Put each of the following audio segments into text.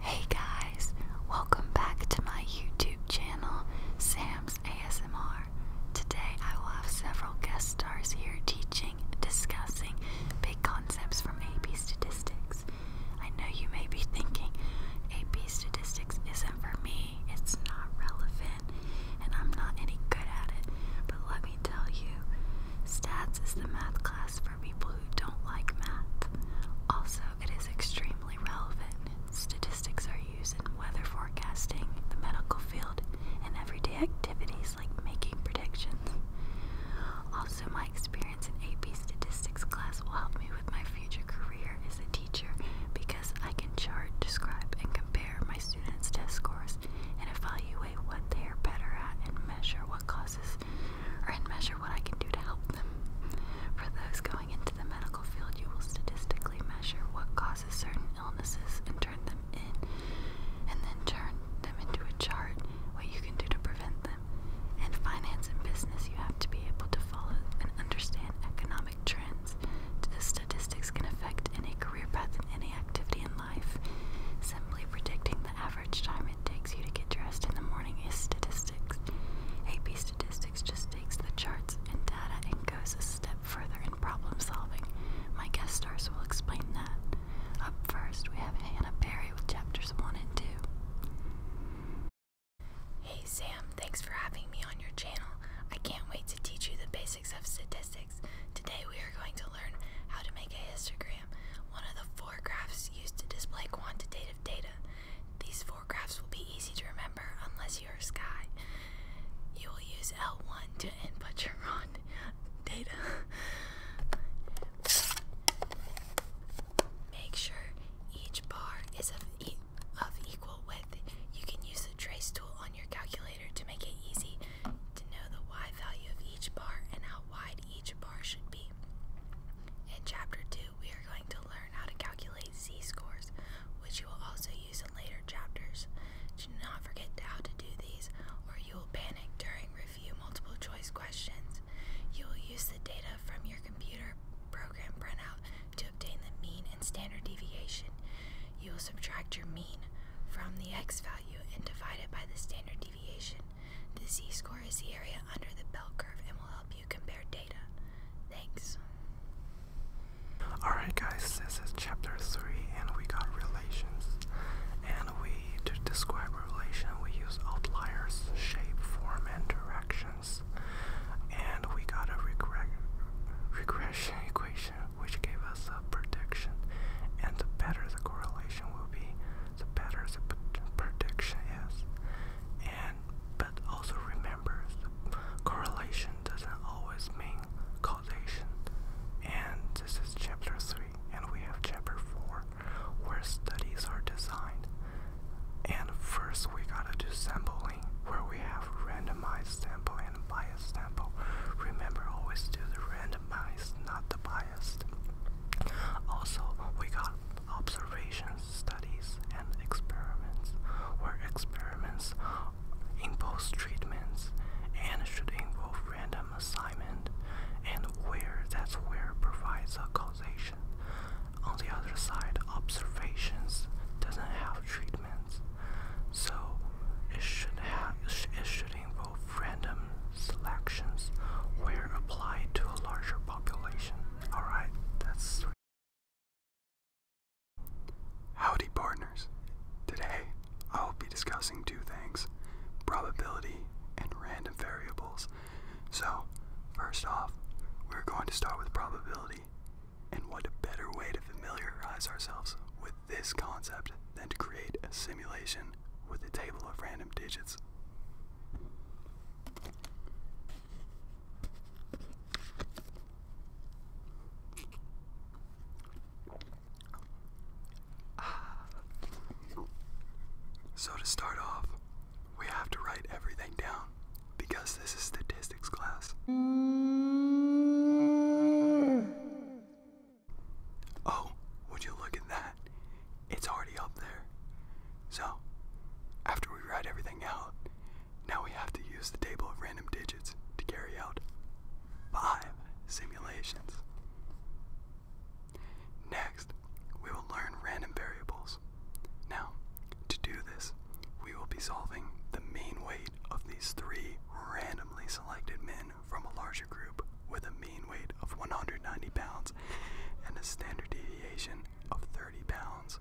Hey guys, welcome back to my YouTube channel, Sam's ASMR. Today I will have several guest stars here teaching, discussing big concepts from AP Statistics. I know you may be thinking, AP Statistics isn't for me, it's not relevant, and I'm not any good at it. But let me tell you, stats is the math class for people who don't like math. Also, it is extremely relevant. Statistics are used in weather forecasting, the medical field, and everyday activities like making predictions. Also, my experience in AP statistics class will help me with my future career as a teacher because I can chart, describe, and compare my students' test scores and evaluate what they are better at and measure what causes and measure what I can do to help them. For those going into the medical field, you will statistically measure what causes certain illnesses and turn them in and then turn them into a chart what you can do to prevent them. In finance and business, you have to be able to follow and understand economic trends. Statistics can affect any career path and any activity in life. Simply predicting the average time it takes you to get dressed in the morning is statistics. AP Statistics just takes the charts and data and goes a step further in problem solving. My guest stars will explain that. Up first, we have Hannah Berry with chapters 1 and 2. Hey Sam, thanks for having me on your channel. I can't wait to teach you the basics of Statistics. Today we are going to learn how to make a histogram, one of the four graphs used to display quantitative data. These four graphs will be easy to remember unless you are a Sky. You will use L1 to input your own data. Make sure each bar is of, of equal width. You can use the trace tool on your calculator to make it easy to know the y value of each bar and how wide each bar should be. In chapter 2, we are going to learn how to calculate z-scores, which you will also use in later chapters. Do not forget how to do these, or you will panic during review multiple choice questions. You will use the data from your computer program printout to obtain the mean and standard deviation, you will subtract your mean from the x value and divide it by the standard deviation. The z score is the area under the bell curve and will help you compare data. Thanks. Alright, guys, this is chapter 3, and we got relations. And we, to describe relation, we use outliers, shape, form, and direction. And we got a regression equation which gave us a prediction. And the better the correlation will be, the better the prediction is. And but also remember, the correlation doesn't always mean causation. And this is chapter 3, and we have chapter 4, where studies are designed. And first we gotta do sampling where we have randomized sample and biased sample. Remember always do the randomized, not the biased. Also we got observations, studies and experiments where experiments impose treatments and should involve random assignment and where that's where provides a causation on the other side, observations doesn't have treatments, so it should have it should involve random selections where applied to a larger population. All right, that's. Howdy, partners. Today, I will be discussing two things probability and random variables. So, first off, we're going to start with probability. And what a better way to familiarize ourselves with this concept than to create a simulation with a table of random digits. So, to start off, we have to write everything down because this is statistics class. Oh, would you look at that? It's already up there. So, after we write everything out, now we have to use the table of random digits to carry out five simulations. Next, we will learn random variables. Now, to do this, we will be solving the mean weight of these three randomly selected men from a larger group with a mean weight of 190 pounds and a standard deviation of 30 pounds.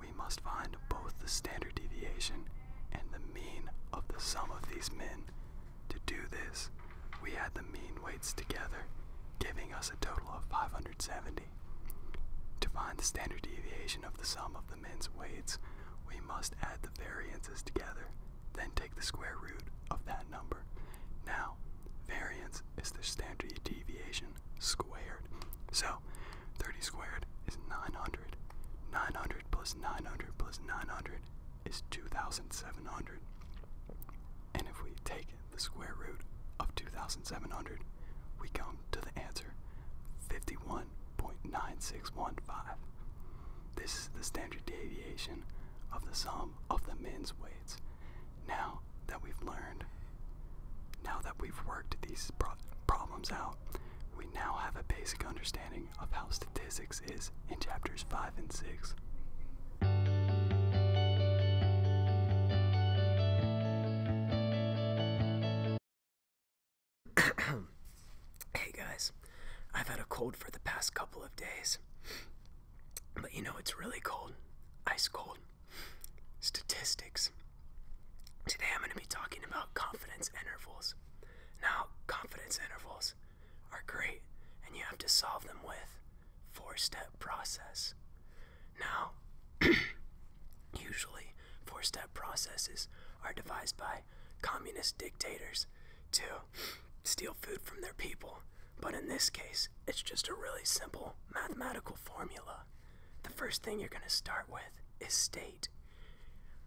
We must find both the standard deviation and the mean of the sum of these men. To do this, we add the mean weights together, giving us a total of 500 to find the standard deviation of the sum of the men's weights, we must add the variances together, then take the square root of that number. Now, variance is the standard deviation squared. So, 30 squared is 900. 900 plus 900 plus 900 is 2,700. And if we take the square root of 2,700, we come to the answer 51.9615. This is the standard deviation of the sum of the men's weights. Now that we've learned, now that we've worked these problems out, we now have a basic understanding of how statistics is in chapters 5 and 6. hey guys, I've had a cold for the past couple of days. But you know, it's really cold. Ice cold. Statistics. Today I'm going to be talking about confidence intervals. Now, confidence intervals are great, and you have to solve them with four step process. Now, usually four step processes are devised by communist dictators to steal food from their people, but in this case, it's just a really simple mathematical formula. The first thing you're going to start with is state.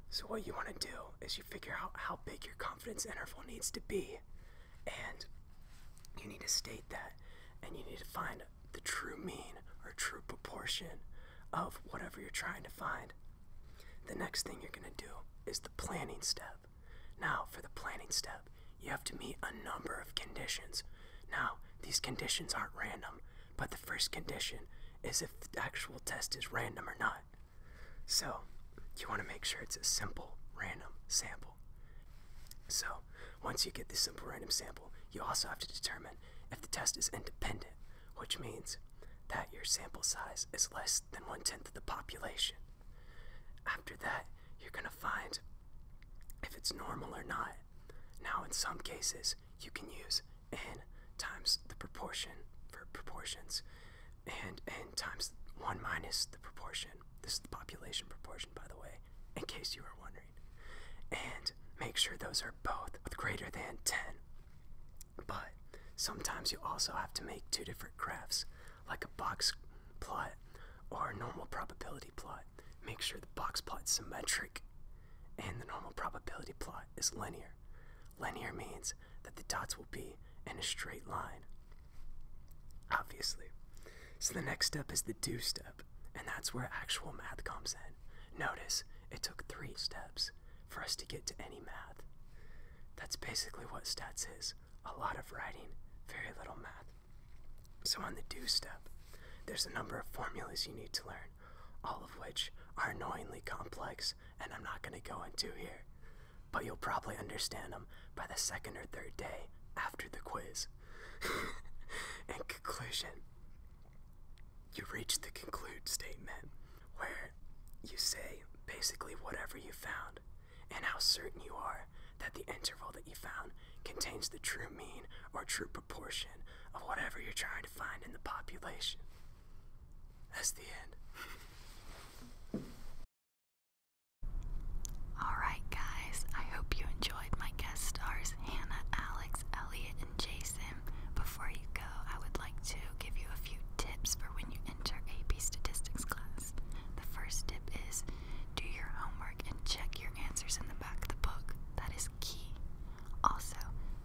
So, what you want to do is you figure out how big your confidence interval needs to be and you need to state that and you need to find the true mean or true proportion of whatever you're trying to find. The next thing you're going to do is the planning step. Now, for the planning step, you have to meet a number of conditions. Now, these conditions aren't random, but the first condition is if the actual test is random or not. So, you want to make sure it's a simple random sample. So, once you get the simple random sample, you also have to determine if the test is independent, which means that your sample size is less than one tenth of the population. After that, you're going to find if it's normal or not. Now, in some cases, you can use n times the proportion for proportions, and n times 1 minus the proportion. This is the population proportion, by the way, in case you are wondering. And make sure those are both greater than 10. But sometimes you also have to make two different graphs, like a box plot or a normal probability plot. Make sure the box plot's symmetric and the normal probability plot is linear. Linear means that the dots will be in a straight line. Obviously. So the next step is the do step, and that's where actual math comes in. Notice it took three steps for us to get to any math. That's basically what stats is a lot of writing, very little math. So on the do step, there's a number of formulas you need to learn, all of which are annoyingly complex and I'm not going to go into here but you'll probably understand them by the second or third day after the quiz. In conclusion, you reach the conclude statement where you say basically whatever you found and how certain you are that the interval that you found contains the true mean or true proportion of whatever you're trying to find in the population. That's the end. Alright, guys, I hope you enjoyed my guest stars Hannah, Alex, Elliot, and Jason. Before you go, I would like to give you a few tips for when you enter AP statistics class. The first tip is do your homework and check your answers in the back of the book. That is key. Also,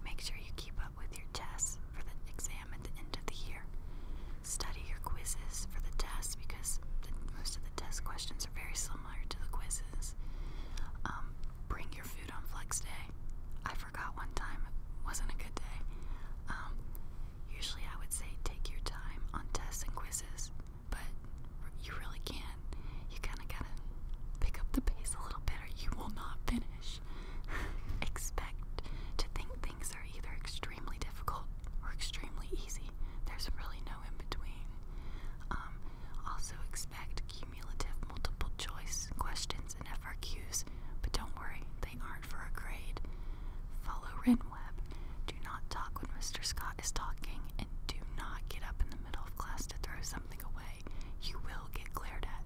make sure you keep up with your tests for the exam at the end of the year. Study your quizzes for the tests because most of the test questions are very similar to the quizzes. Um, bring your food on Flex Day. I forgot one time, wasn't a good day. Um, usually I would say take your time on tests and quizzes, but you really can't. You kind of gotta pick up the pace a little bit or you will not finish gosh. Expect to think things are either extremely difficult or extremely easy. There's really no in between. Um, also, expect cumulative multiple choice questions and FRQs, but don't worry, they aren't for a grade. Follow Renweb. Do not talk when Mr. Scott is talking, and do not get up in the middle of class to throw something away. You will get glared at.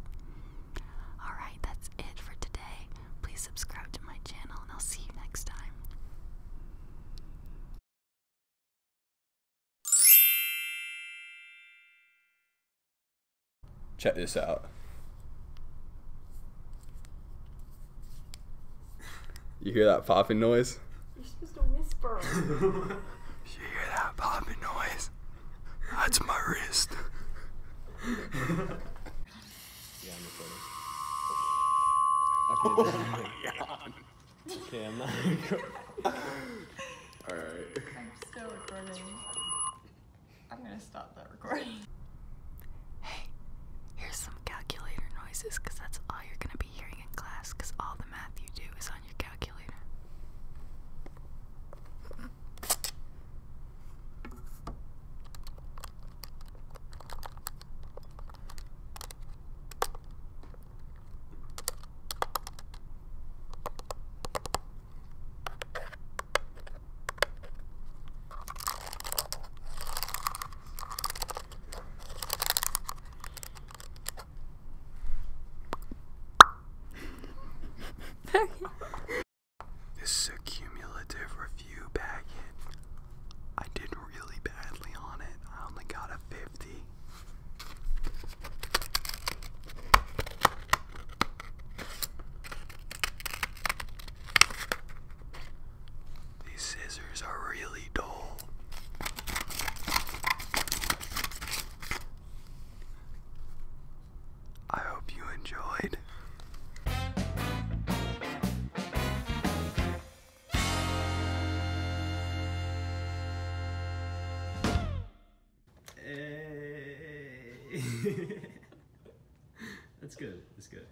Alright, that's it for today. Please subscribe to my channel, and I'll see you next time. Check this out. You hear that popping noise? You're supposed to whisper. you hear that popping noise? That's my wrist. yeah, I'm recording. okay, I'm not recording. Alright. I'm still recording. I'm gonna stop that recording. Hey, here's some calculator noises that's all you're gonna be hearing in class all the math you do is on your calculator this is a cumulative review packet. I did really badly on it. I only got a 50. These scissors are really dull. I hope you enjoyed. Hey. That's good. That's good.